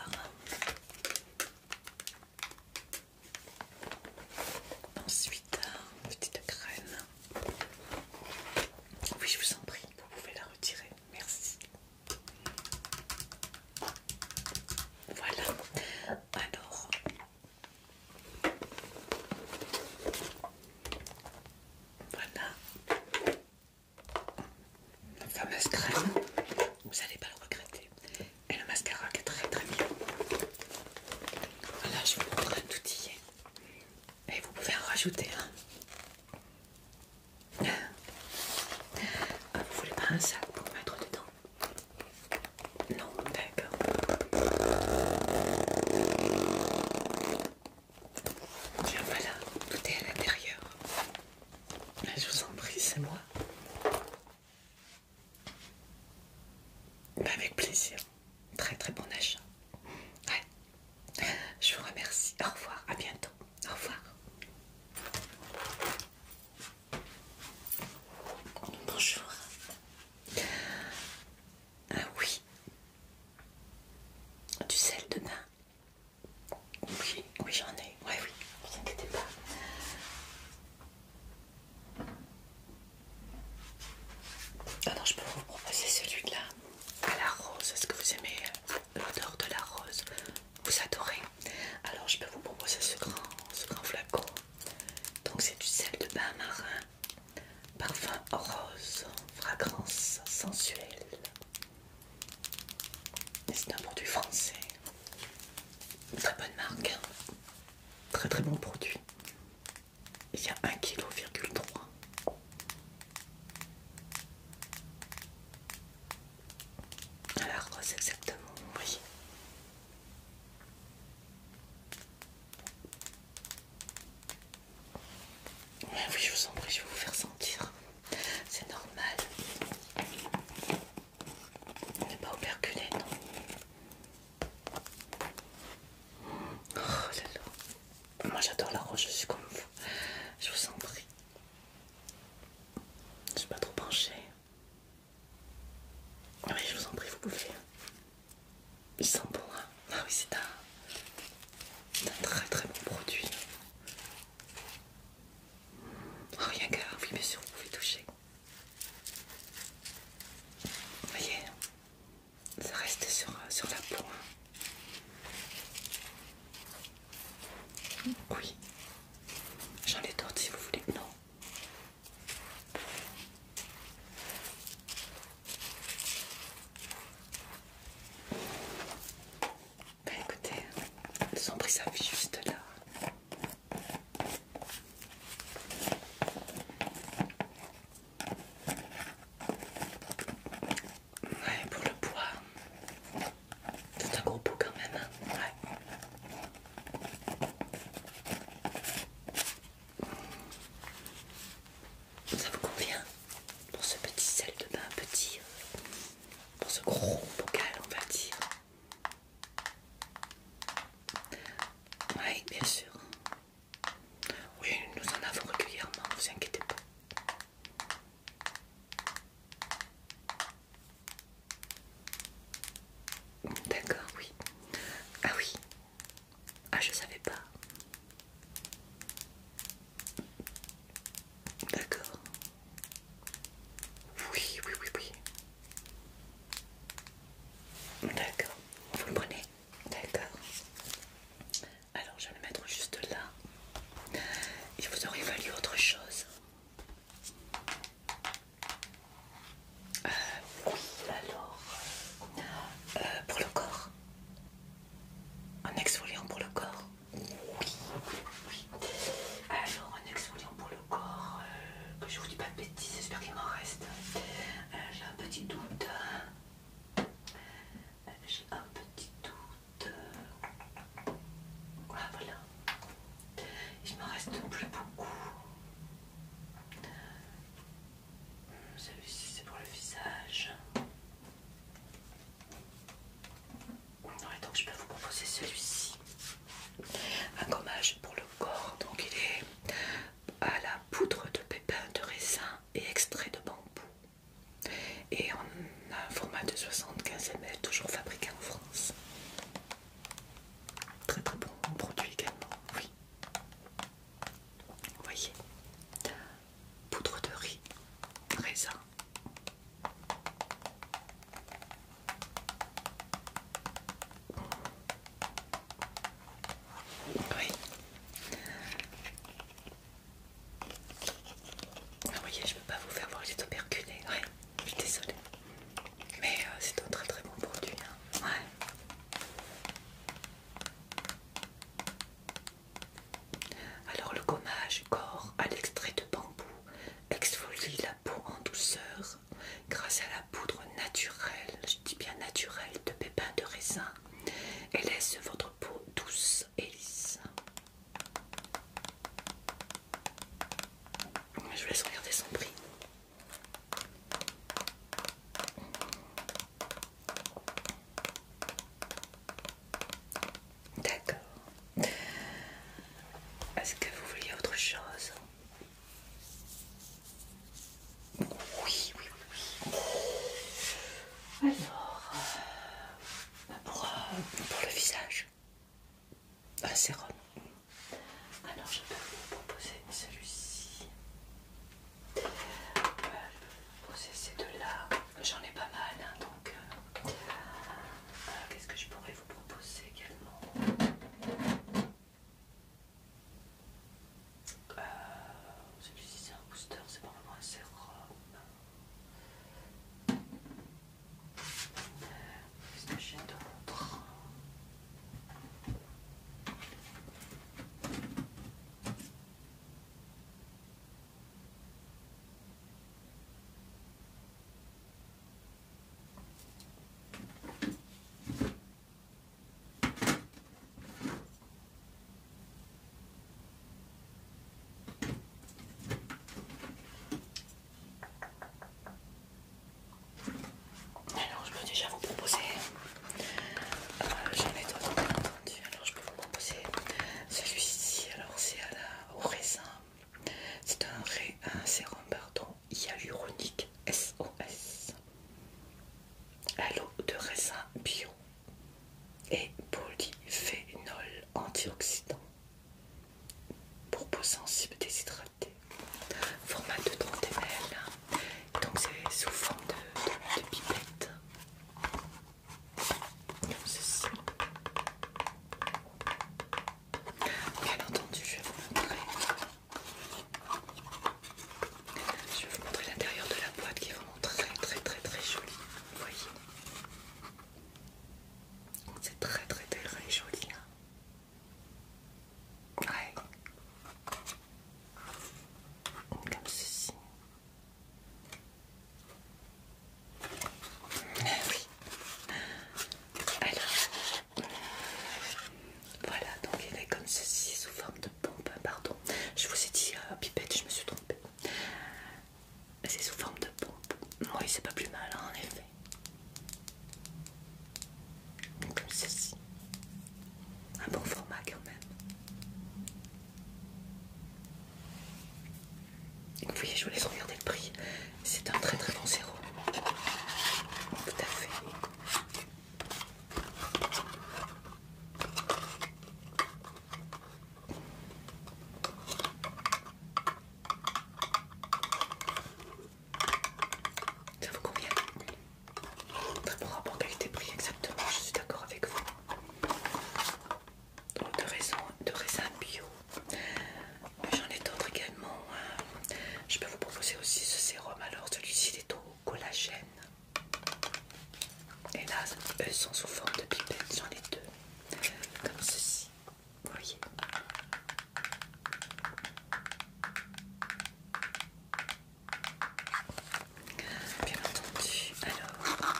Ensuite, une petite graine. Oui, je vous en prie, vous pouvez la retirer. Merci. Voilà. Alors, voilà la fameuse crème, vous n'allez pas le regretter. Et le mascara qui est très très bien. Voilà, je vous montre un outil, Et vous pouvez en rajouter un. Vous ah, vous voulez pas un sac pour mettre dedans Non, d'accord. Tiens, voilà, tout est à l'intérieur. Je vous en prie, c'est moi. Bah, avec plaisir. Très très bon achat. Ouais. Je vous remercie. Au revoir. À bientôt. Au revoir. Bonjour. Ah oui. Du sel de bain. Oui, oui j'en ai. Ouais, oui, ne vous inquiétez pas. Ah non, je peux vous proposer celui-là. À la rose. Est-ce que vous aimez l'odeur de la rose Vous adorez Alors je peux vous proposer ce grand, ce grand flacon. Donc c'est du sel de bain marin Parfum rose, fragrance sensuelle. C'est un produit français. Très bonne marque. Hein. Très très bon produit. Il y a 1,3 kg. rose exactement, oui. Ah oui, je vous en prie, je vais vous faire sentir. C'est normal. On n'est pas operculé, non Oh là là. Moi j'adore la roche, je suis comme vous. Je vous en prie. Je suis pas trop penchée. Ah oui, je vous en prie, vous pouvez. Il sent bon, hein ah oui, c'est un, très très bon produit. Oh, il y a oui, bien sûr, vous pouvez toucher. Vous voyez, ça reste sur, euh, la peau. Hein. Oui, j'en ai d'autres si vous voulez. Non. Ben, écoutez, écoutez, sont pris ça juste là. Ouais, pour le poids, c'est un gros pot quand même. Hein. Ça vous convient Pour ce petit sel de bain, petit. Euh, pour ce gros bocal, on va dire. Oui, bien sûr. Oui, nous en avons régulièrement, ne vous inquiétez pas. D'accord, oui. Ah oui. Ah, je savais pas. D'accord. Oui, oui, oui, oui. D'accord. Vous le prenez D'accord. Alors, je vais le mettre juste là. Il vous aurait valu autre chose. Euh, oui, alors, euh, pour le corps, un exfoliant pour le corps. Alors, un exfoliant pour le corps, euh, que je vous dis pas de bêtises, j'espère qu'il m'en reste. Euh, j'ai un petit doute. Euh, j'ai un petit doute. Ah, voilà. Il me reste plus beaucoup. Celui-ci, c'est pour le visage donc je peux vous proposer celui-ci. Un gommage pour le corps, donc il est à la poudre de pépins de raisin et extrait de bambou. Et en un format de 75 ml, toujours fabriqué en France. Très très bon produit également, oui. Vous voyez poudre de riz, raisin. Oui. Vous voyez, je veux pas vous faire voir les tuberculés. Hein. oui. je suis désolée. Mais euh, c'est un très très bon produit. Hein. Alors le gommage corps à l'extrait de bambou exfolie la peau en douceur grâce à la poudre naturelle, je dis bien naturelle, de pépins de raisin et laisse votre peau douce et lisse. Je laisse regarder son prix. D'accord. Est-ce que vous vouliez autre chose Oui, oui, oui. Alors, euh, pour, euh, pour le visage, un ah, sérum. Alors, je peux vous proposer celui-ci. Euh, poser ces deux-là. J'en ai pas mal, hein, donc euh, euh, qu'est-ce que je pourrais vous proposer également euh, Celui-ci c'est un booster, c'est pas vraiment un euh, sérum. Qu'est-ce que j'ai d'autre alors je peux déjà vous proposer. Euh, j'en alors je peux vous proposer celui-ci. Alors c'est au raisin. C'est un, ré, sérum hyaluronique SOS. À l'eau de raisin bio et polyphénol antioxydant pour peau sensible déshydratée. Format de 30 ml. Donc c'est sous forme de pipette comme ceci. Bien entendu, je vais vous montrer. Je vais vous montrer l'intérieur de la boîte qui est vraiment très très très très jolie. Vous voyez C'est très très très très joli. ouais. Comme ceci. Ah oui. Alors, voilà, donc il est comme ceci, sous forme de pompe. Hein, pardon, je vous ai dit euh, pipette, je me suis trompée. C'est sous forme de pompe. il c'est pas plus mal, hein, en effet. Comme ceci. Un bon format quand même. Vous voyez, je vous laisse regarder le prix. C'est un très très bon zéro. Tout à fait. Ça vous convient Très bon rapport qualité-prix, exactement, je suis d'accord avec vous de raisins de raisin bio. J'en ai d'autres également. Hein. Je peux vous proposer aussi ce sérum. Alors celui-ci est au collagène. Et là, eux sont sous forme de pipette. J'en ai deux. Comme ceci. Vous voyez Bien entendu. Alors...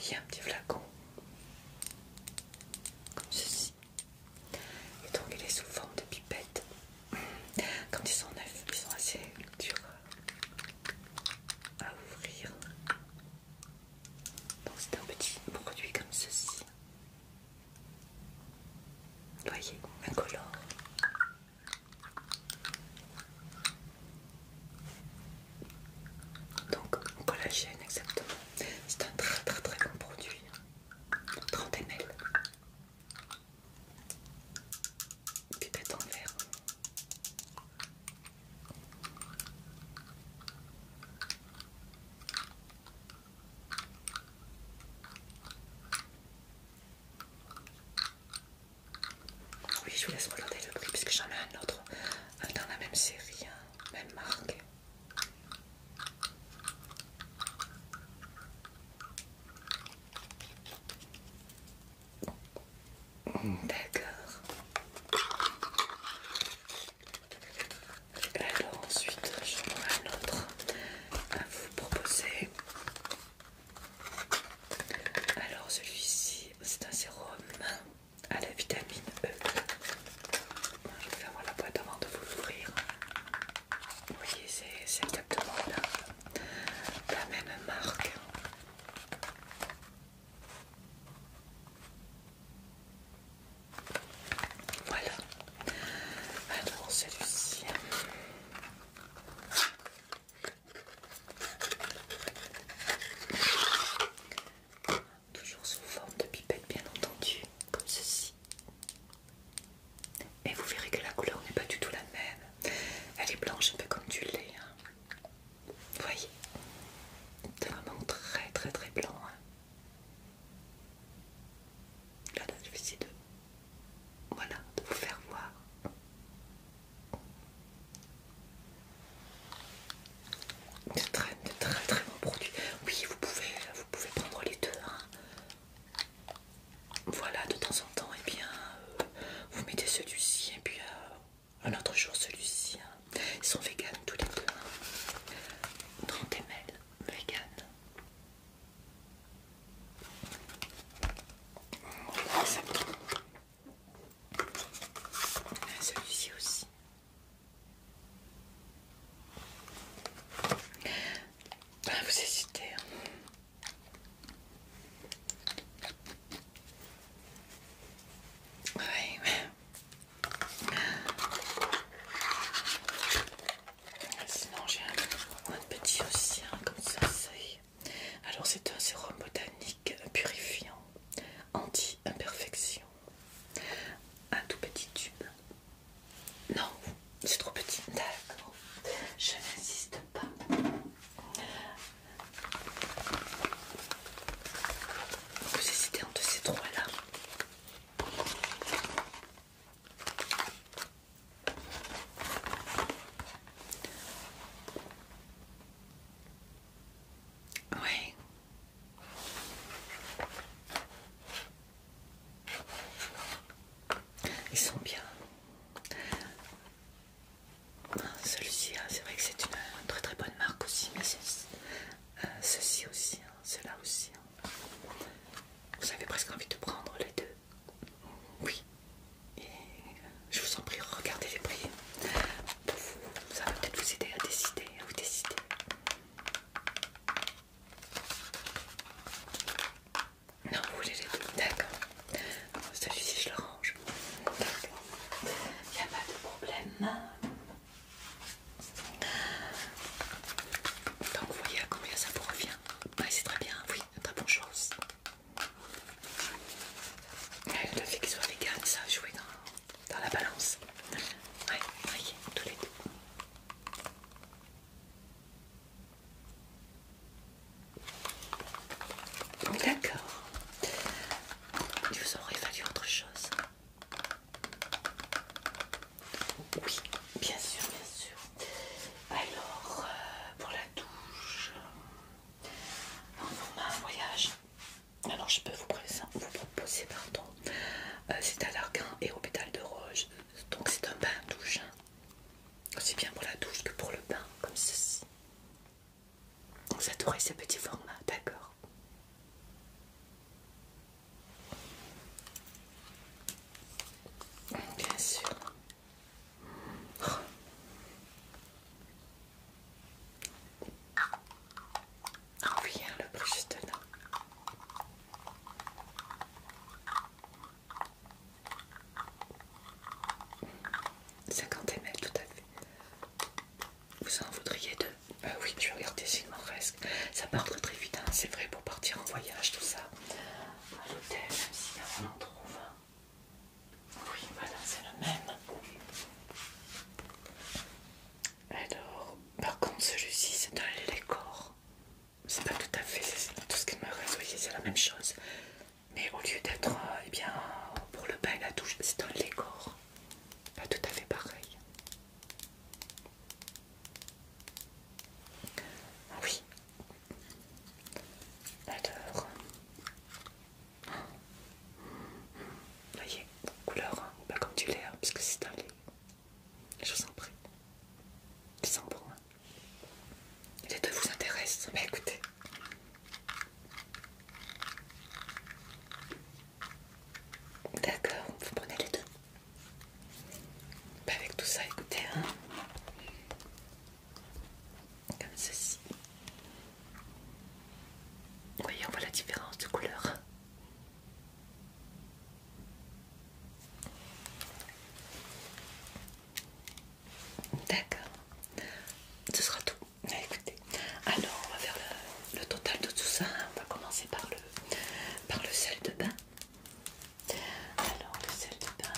Il y a un petit flacon comme ceci et donc il est sous forme de pipette quand ils sont neufs ils sont assez durs à ouvrir donc c'est un petit produit comme ceci Voyez, incolore. Donc, collagène exactement. C'est un très très très bon produit. 30 ml. Pipette en verre. Oui, je vous laisse regarder le prix puisque j'en ai un autre dans la même série, même marque. D'accord. Alors ensuite, j'en ai un autre vous proposer. Alors celui-ci, c'est un sérum à la vitamine E. Je vais fermer la boîte avant de vous l'ouvrir. Vous voyez, c'est exactement la même marque. Voilà, alors celui-ci. Toujours sous forme de pipette bien entendu, comme ceci. Et vous verrez que la couleur n'est pas du tout la même. Elle est blanche un peu comme du lait. Hein. Vous voyez C'est vraiment très très très blanc. Hein. Là, je vais essayer de, voilà, de vous faire voir. De très, très très beaux produits. Oui, vous pouvez, vous pouvez prendre les deux. Hein. Voilà, de temps en temps, et eh bien, euh, vous mettez celui-ci et puis euh, un autre jour celui-ci. Hein. Ils sont vegan tous les deux. 30ml hein. vegan. Ah, celui-ci aussi. Ah, vous hésitez. Hein oui. Ah, sinon j'ai un, petit aussi, hein, comme ça c'est... Alors c'est un sérum botanique purifiant, anti-imperfection. Un tout petit tube. Non, c'est trop petit. D'accord, je n'insiste pas. Vous hésitez entre ces trois là. Oui. Ils sont bien. Ah, celui-ci, hein, c'est vrai que c'est une, très très bonne marque aussi, mais euh, ceci aussi, hein, cela aussi. Hein. Vous avez presque envie de prendre les deux. Oui. Et je vous en prie, regardez les prix. ça va peut-être vous aider à décider, à vous décider. Non, vous voulez les deux. D'accord. Celui-ci, je le range. Il n'y a pas de problème. Donc vous voyez à combien ça vous revient. Oui, c'est très bien, oui très bonne chose. Le fait qu'il soit cartes ça va jouer dans, la balance. Ouais, voyez, tous les deux. D'accord. Il vous aurait fallu autre chose. Oui, bien sûr, bien sûr. Alors, euh, pour la douche, en un voyage, alors je peux vous, vous proposer, pardon, euh, c'est à l'argan et au pétale de rose. Donc c'est un bain-douche, aussi hein. bien pour la douche que pour le bain, comme ceci. Vous adorez ce petit formats, d'accord Bien sûr. Oh ah, oui, le bruit, juste là. Cinquante ml tout à fait. Vous en voudriez deux euh, Oui, je vais regarder s'il m'en reste. Ça part très vite, hein. c'est vrai, pour partir en voyage, tout ça à l'hôtel, même si on en trouve Oui, voilà, c'est le même. Alors, par contre, celui-ci, c'est un lécor. C'est pas tout à fait tout ce qu'il me reste, voyez, c'est la même chose. Mais au lieu d'être, euh, eh bien, pour le bain et la douche, c'est un décor. Pas tout à fait pareil. Ah oui, alors, voyez, couleur, hein, pas comme du l'air, que c'est un les Je vous en prie. Ils sont bons. Les deux vous intéressent. Bah écoutez. D'accord, vous prenez les deux. Bah avec tout ça, écoutez, hein comme ceci. Vous voyez, on voit la différence de couleur. D'accord, ce sera tout. Bah, écoutez, alors on va faire le, le total de tout ça. Hein. On va commencer par le, par le sel de bain. Alors, le sel de bain,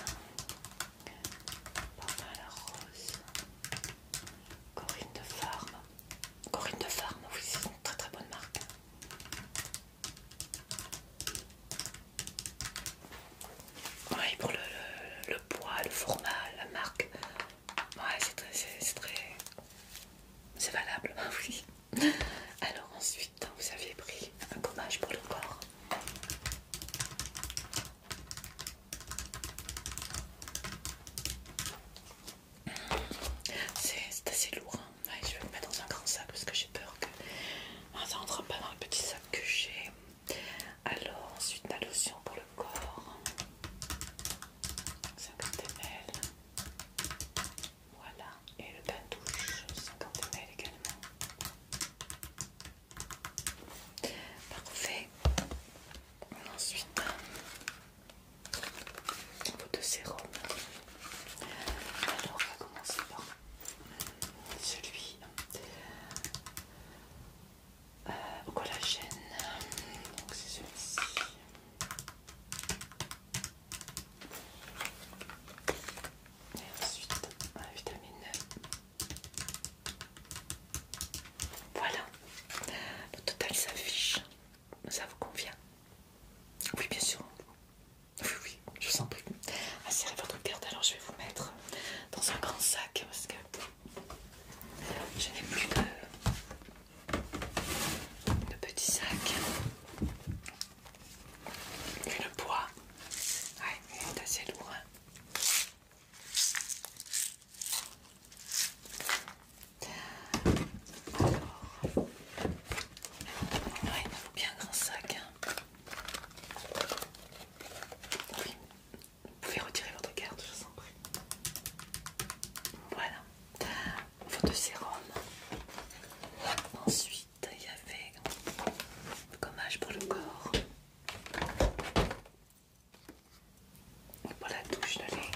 la Rose, Corinne de Farm. Corinne de Farm, oui, c'est une très très bonne marque. Oui, pour le, poids, le format, la marque, ouais, c'est très, très valable, oui. Alors ensuite. Putain, vous aviez pris un gommage pour le corps. C'est assez lourd. Hein. je vais le mettre dans un grand sac parce que j'ai peur que ah, ça rentre pas dans le petit sac que j'ai. Alors, ensuite la lotion pour le corps. 50 ml. Voilà. Et le bain douche, 50 ml également. Parfait. Ensuite, un pot de sérum. Alors, on va commencer par celui euh, au collagène. Donc, c'est celui-ci. Et ensuite, la vitamine e. Voilà, le total s'affiche. Ça vous convient Oui, bien sûr. Oui, oui, je vous en prie. Ah, votre carte. Alors, je vais vous mettre dans un grand sac parce que je n'ai plus de, de petits sacs. Une poix, ouais, il est assez lourd. Alors, il faut bien un grand sac. Hein. Oui, vous pouvez retirer votre carte, je vous en prie. Voilà, votre sérum. Ensuite, il y avait un gommage pour le corps et pour la douche de lait.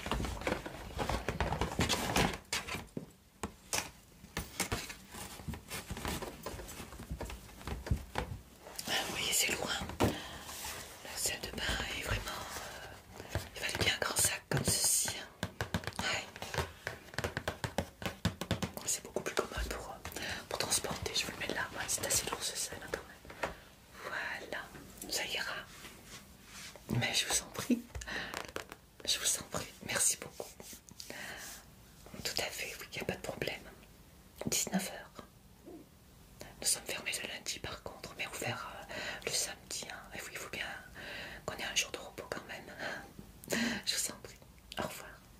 Ah, vous voyez, c'est loin. Le la salle de bain est vraiment. Euh, il valait bien un grand sac comme ceci. Hein. C'est beaucoup plus commun pour, euh, pour transporter. Je vous le mets là. c'est assez lourd ce sel hein, quand même. Voilà, ça ira. Mais je vous en prie. Je vous en prie. Merci beaucoup. Tout à fait, il n'y a pas de problème. 19h. Nous sommes fermés le lundi par contre, mais ouverts euh, le samedi. Hein. Et il faut bien qu'on ait un jour de repos quand même. Je vous en prie. Au revoir.